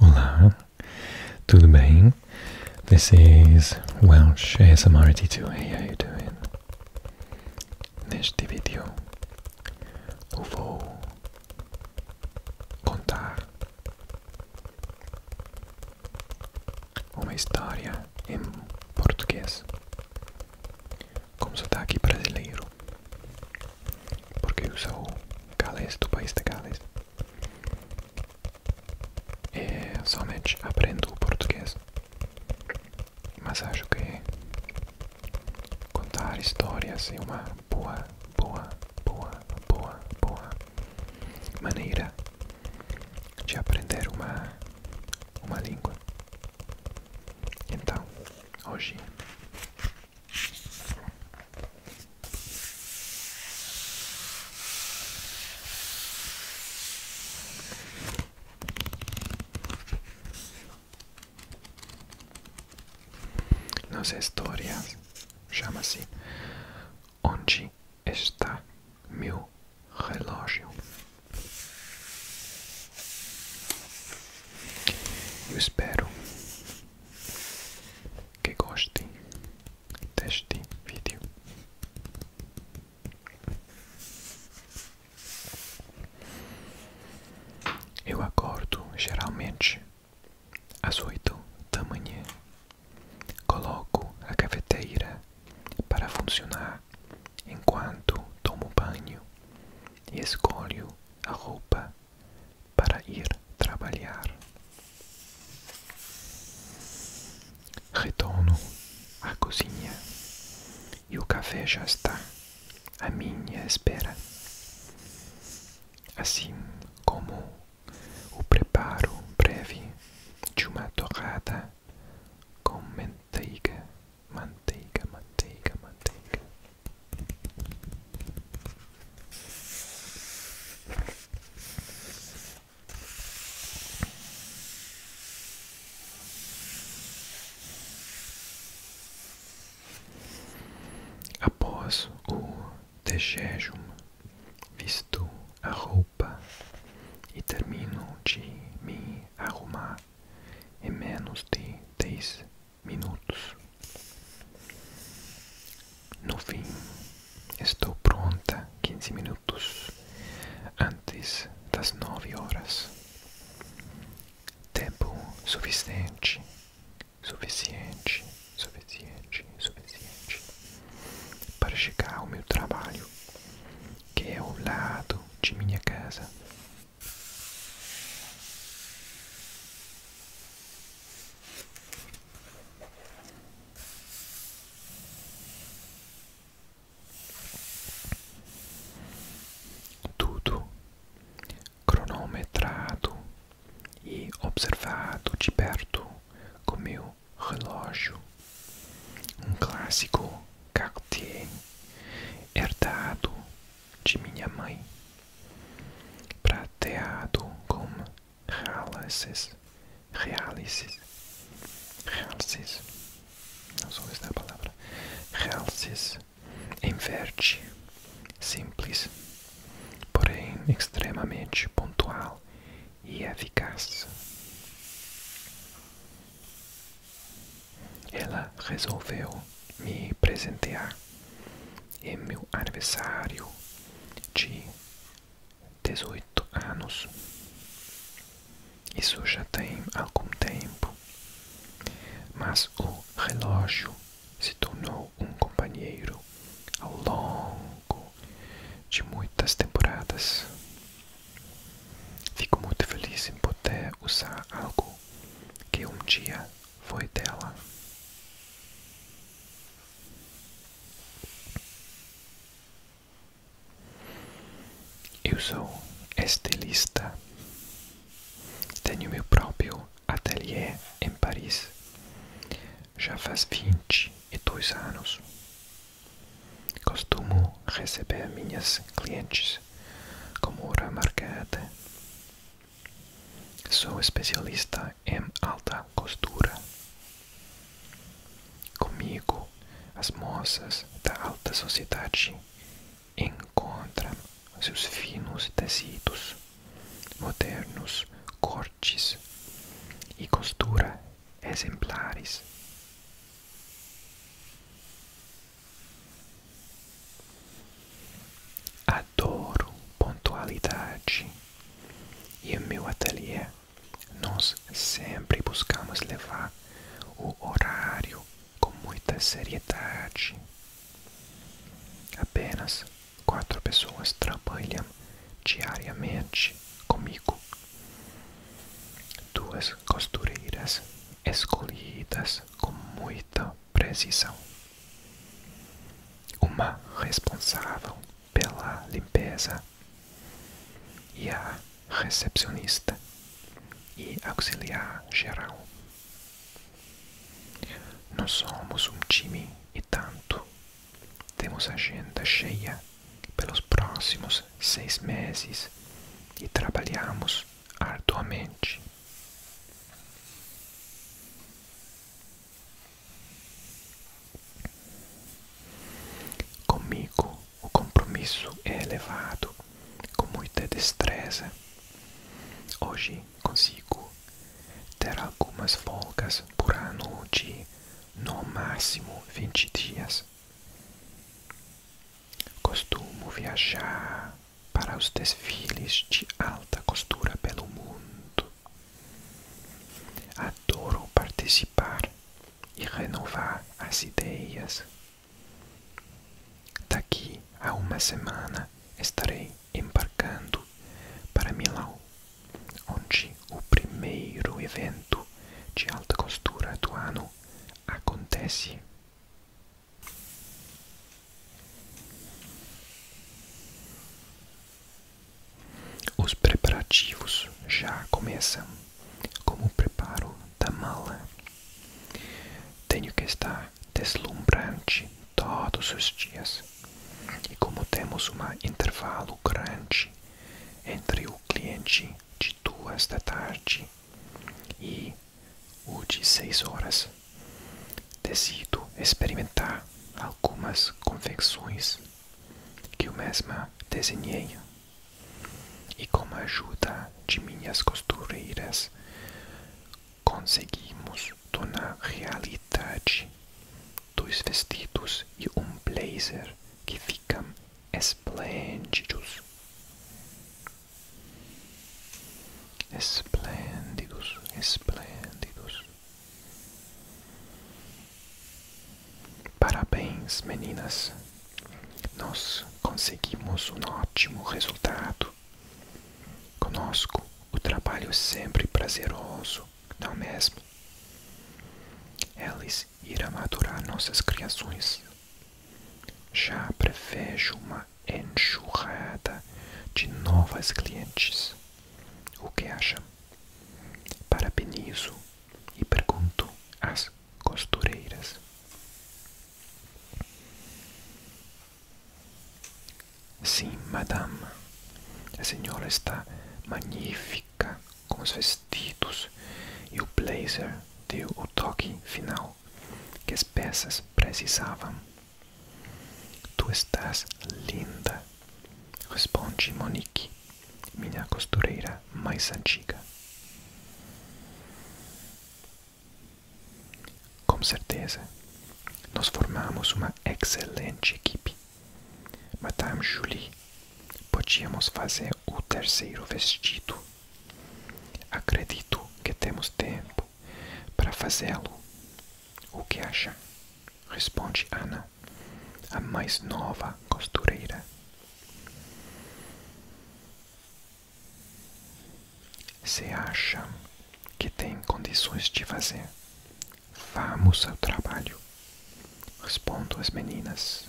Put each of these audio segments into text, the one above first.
Olá, tudo bem? This is Welsh ASMRT2. Hey, how you doing? Neste vídeo eu vou contar uma história em português como com sotaque brasileiro porque eu sou galês do país de Gales e somente aprendo português, mas acho que contar histórias é uma boa, boa, boa, boa, boa maneira de aprender uma, uma língua. Então, hoje nossa história chama-se Onde está meu relógio? Eu espero que gostem deste vídeo. Eu acordo geralmente às oito da manhã. Coloco a cafeteira para funcionar enquanto tomo banho e escolho a roupa para ir trabalhar. Retorno à cozinha e o café já está à minha espera. Assim como o preparo breve de uma torrada com manteiga, manteiga, manteiga, manteiga. Após o dejejum, visto a roupa e termino de me arrumar em menos de dez minutos. No fim, estou pronta 15 minutos antes das 9 horas. Tempo suficiente, suficiente, suficiente, suficiente para chegar ao meu trabalho, que é ao lado de minha casa. Tudo cronometrado e observado de perto com meu relógio, um clássico Cartier herdado de minha mãe, prateado com realices, realices, realces, não sou esta palavra, realces em verde, simples, porém extremamente pontual e eficaz. Ela resolveu me presentear em é meu aniversário de 18 anos. Isso já tem algum tempo, mas o relógio se tornou um companheiro ao longo de muitas temporadas. Fico muito feliz em poder usar algo que um dia foi dela. Eu sou estilista. Tenho meu próprio ateliê em Paris. Já faz vinte e dois anos. Costumo receber minhas clientes como remarcate. Sou especialista em alta costura. Comigo, as moças da alta sociedade encontram seus finos tecidos, modernos cortes e costuras exemplares. Adoro pontualidade e em meu ateliê nós sempre buscamos levar o horário com muita seriedade. Apenas quatro pessoas trabalham diariamente comigo. Duas costureiras escolhidas com muita precisão. Uma responsável pela limpeza e a recepcionista e auxiliar geral. Nós somos um time e tanto. Temos agenda cheia pelos próximos seis meses e trabalhamos arduamente. Comigo, o compromisso é elevado, com muita destreza. Hoje consigo ter algumas folgas por ano de no máximo 20 dias. Costumo viajar para os desfiles de alta costura pelo mundo. Adoro participar e renovar as ideias. Daqui a uma semana estarei embarcando para Milão, onde o primeiro evento de alta costura do ano acontece. Os preparativos já começam, como o preparo da mala. Tenho que estar deslumbrante todos os dias. E como temos um intervalo grande entre o cliente de duas da tarde e o de seis horas. Decido experimentar algumas convenções que eu mesma desenhei e com a ajuda de minhas costureiras conseguimos tornar realidade dois vestidos e um blazer que ficam esplêndidos esplêndidos, esplêndidos. Parabéns, meninas! Nós conseguimos um ótimo resultado. Conosco, o trabalho é sempre prazeroso, não é mesmo? Eles ir a madurar nossas criações. Já prevejo uma enxurrada de novas clientes. O que acha? Parabenizo e pergunto às costureiras. Sim, madame. A senhora está magnífica com os vestidos e o blazer deu o toque final que as peças precisavam. Tu estás linda, responde Monique, minha costureira mais antiga. Com certeza, nós formamos uma excelente equipe. Madame Julie, podíamos fazer o terceiro vestido. Acredito que temos tempo para fazê-lo. O que acha? Responde Ana, a mais nova costureira. Se acham que tem condições de fazer, vamos ao trabalho. Respondo as meninas.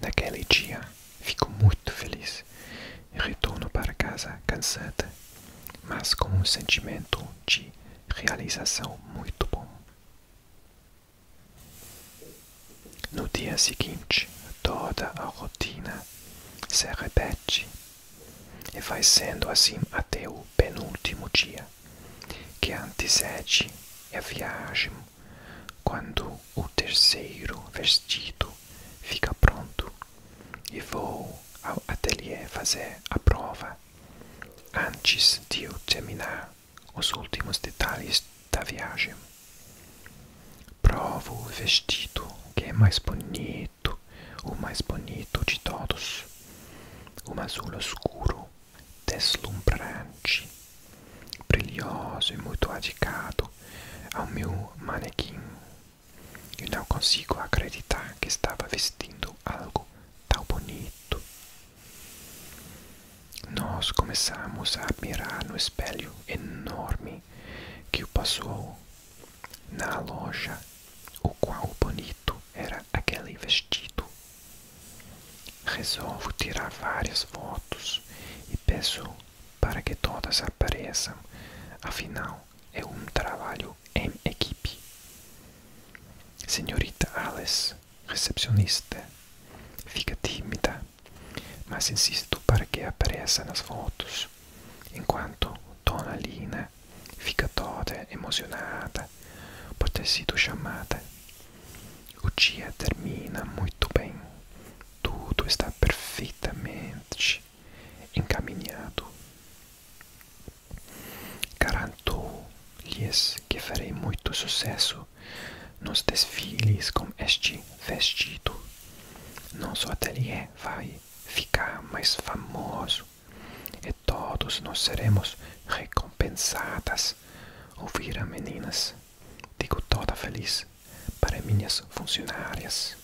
Naquele dia, fico muito feliz e retorno para casa cansada, mas com um sentimento de realização muito bom. No dia seguinte, toda a rotina se repete e vai sendo assim até o penúltimo dia, que antecede a viagem, quando o terceiro vestido fica pronto, e vou ao ateliê fazer a prova, antes de eu terminar os últimos detalhes da viagem. Provo o vestido que é mais bonito preto, o mais bonito de todos, um azul escuro, deslumbrante, brilhoso e muito adicado ao meu manequim. Eu não consigo acreditar que estava vestindo algo tão bonito. Nós começamos a admirar no espelho enorme que o passou na loja o qual bonito era aquele vestido. Resolvo tirar várias fotos e peço para que todas apareçam, afinal é um trabalho em equipe. Senhorita Alice, recepcionista, fica tímida, mas insisto para que apareça nas fotos. Jones, in quanto Tonaline, ficatore emozionata, poter sido chamada. O dia termina muito bem. Tudo está perfeitamente encaminhado. Garanto-lhes que farei muito sucesso nos desfiles com este vestido. Nosso ateliê é, vai ficar mais famoso e todos nós seremos recompensadas. ouviram meninas, digo toda feliz para minhas funcionárias.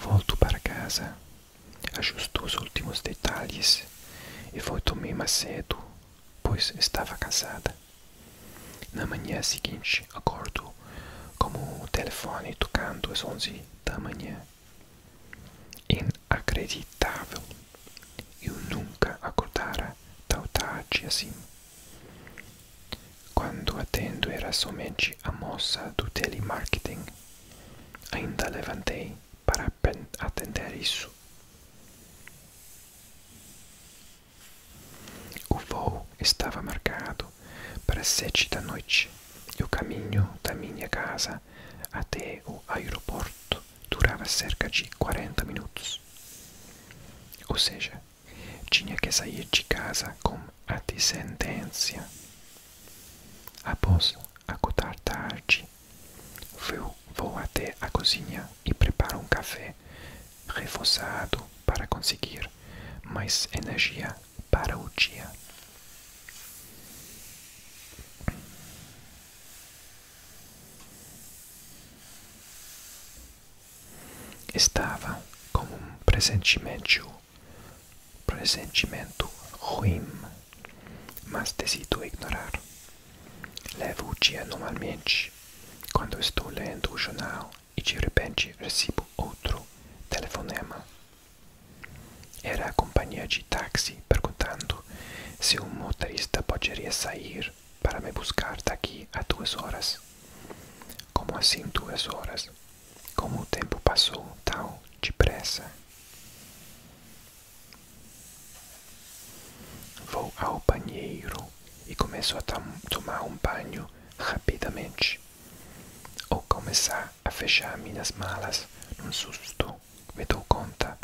Volto para casa, ajusto os últimos detalhes e vou tomar mais cedo pois estava cansada. Na manhã seguinte, acordo com o telefone tocando às onze da manhã. Inacreditável! Eu nunca acordara tão tarde assim. Quando atendo era somente a moça do telemarketing. Ainda levantei para atender isso. O voo estava marcado para sete da noite e o caminho da minha casa até o aeroporto durava cerca de 40 minutos. Ou seja, tinha que sair de casa com a descendência. Após acordar tarde, Vou até a cozinha e preparo um café reforçado para conseguir mais energia para o dia. Estava com um pressentimento, pressentimento ruim mas decido ignorar. Levo o dia normalmente. Quando estou lendo o jornal e de repente recebo outro telefonema. Era a companhia de táxi perguntando se um motorista poderia sair para me buscar daqui a duas horas. Como assim duas horas? Como o tempo passou tão depressa? Vou ao banheiro e começo a tomar um banho rapidamente. ou começo a fechar minhas malas, num susto, me dou conta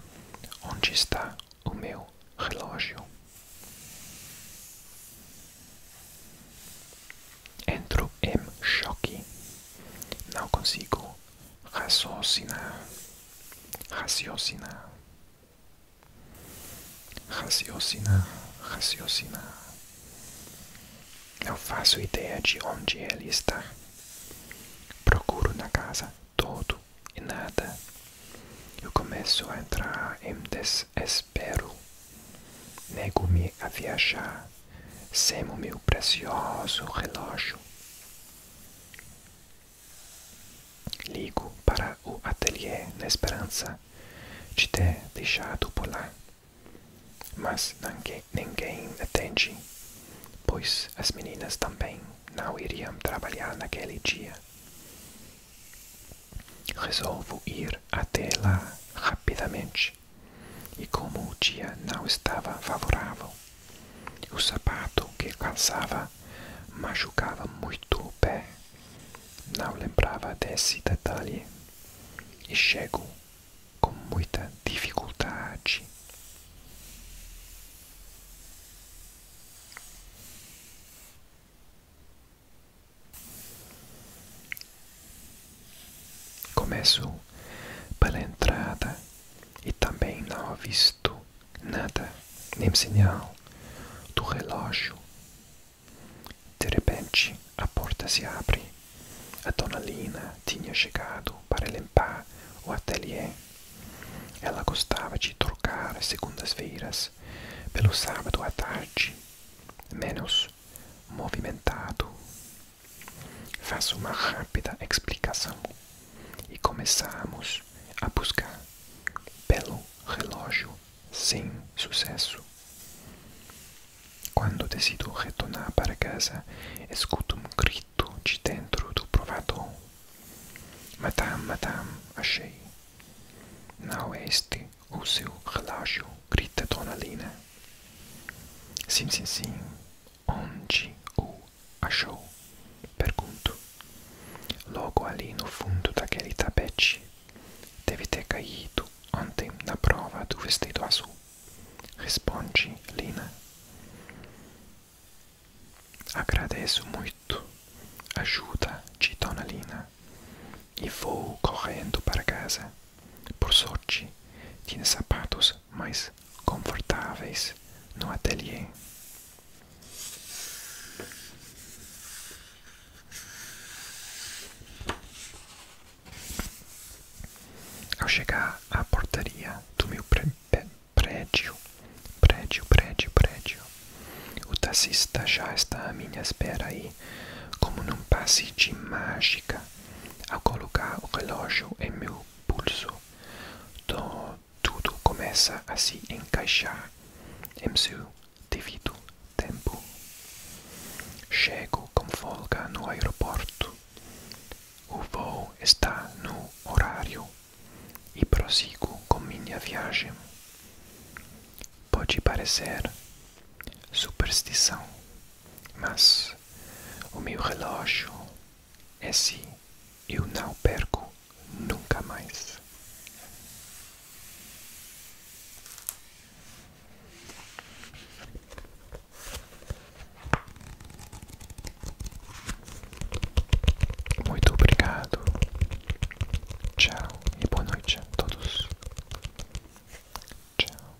onde está o meu relógio. Entro em choque. Não consigo raciocinar, raciocinar, raciocinar, raciocinar. Não faço ideia de onde ele está. Procuro na casa todo e nada. Eu começo a entrar em desespero. Nego-me a viajar sem o meu precioso relógio. Ligo para o ateliê na esperança de ter deixado por lá. Mas ninguém, ninguém atende, pois as meninas também não iriam trabalhar naquele dia. Resolvo ir até lá rapidamente, e como o dia não estava favorável, o sapato que calçava machucava muito o pé. Não lembrava desse detalhe. E chego com muita dificuldade. Começo pela entrada e também não visto nada, nem sinal do relógio. De repente, a porta se abre. A dona Lina tinha chegado para limpar o ateliê. Ela gostava de trocar as segundas-feiras pelo sábado à tarde, menos movimentado. Faço uma rápida explicação e começamos a buscar pelo relógio sem sucesso. Quando decido retornar para casa, escuto um grito de dentro do provador. Madame, madame, achei. Não é este o seu relógio, grita Dona Lina. Sim, sim, sim. Onde o Achou? Pergunto. Logo ali no fundo daquele tapete. Deve ter caído ontem na prova do vestido azul. Responde Lina. Agradeço muito a ajuda de Dona Lina e vou correndo para casa. Por sorte, tinha sapatos mais confortáveis no ateliê. Ao chegar à portaria do meu pr prédio, prédio, prédio, prédio, o taxista já está à minha espera e, como num passe de mágica, ao colocar o relógio em meu pulso. Então, tudo começa a se encaixar em seu devido tempo. Chego com folga no aeroporto. O voo está no horário e prossigo com minha viagem. Pode parecer superstição, mas o meu relógio é se assim. eu não perco nunca mais. Muito obrigado. Tchau e boa noite a todos. Tchau.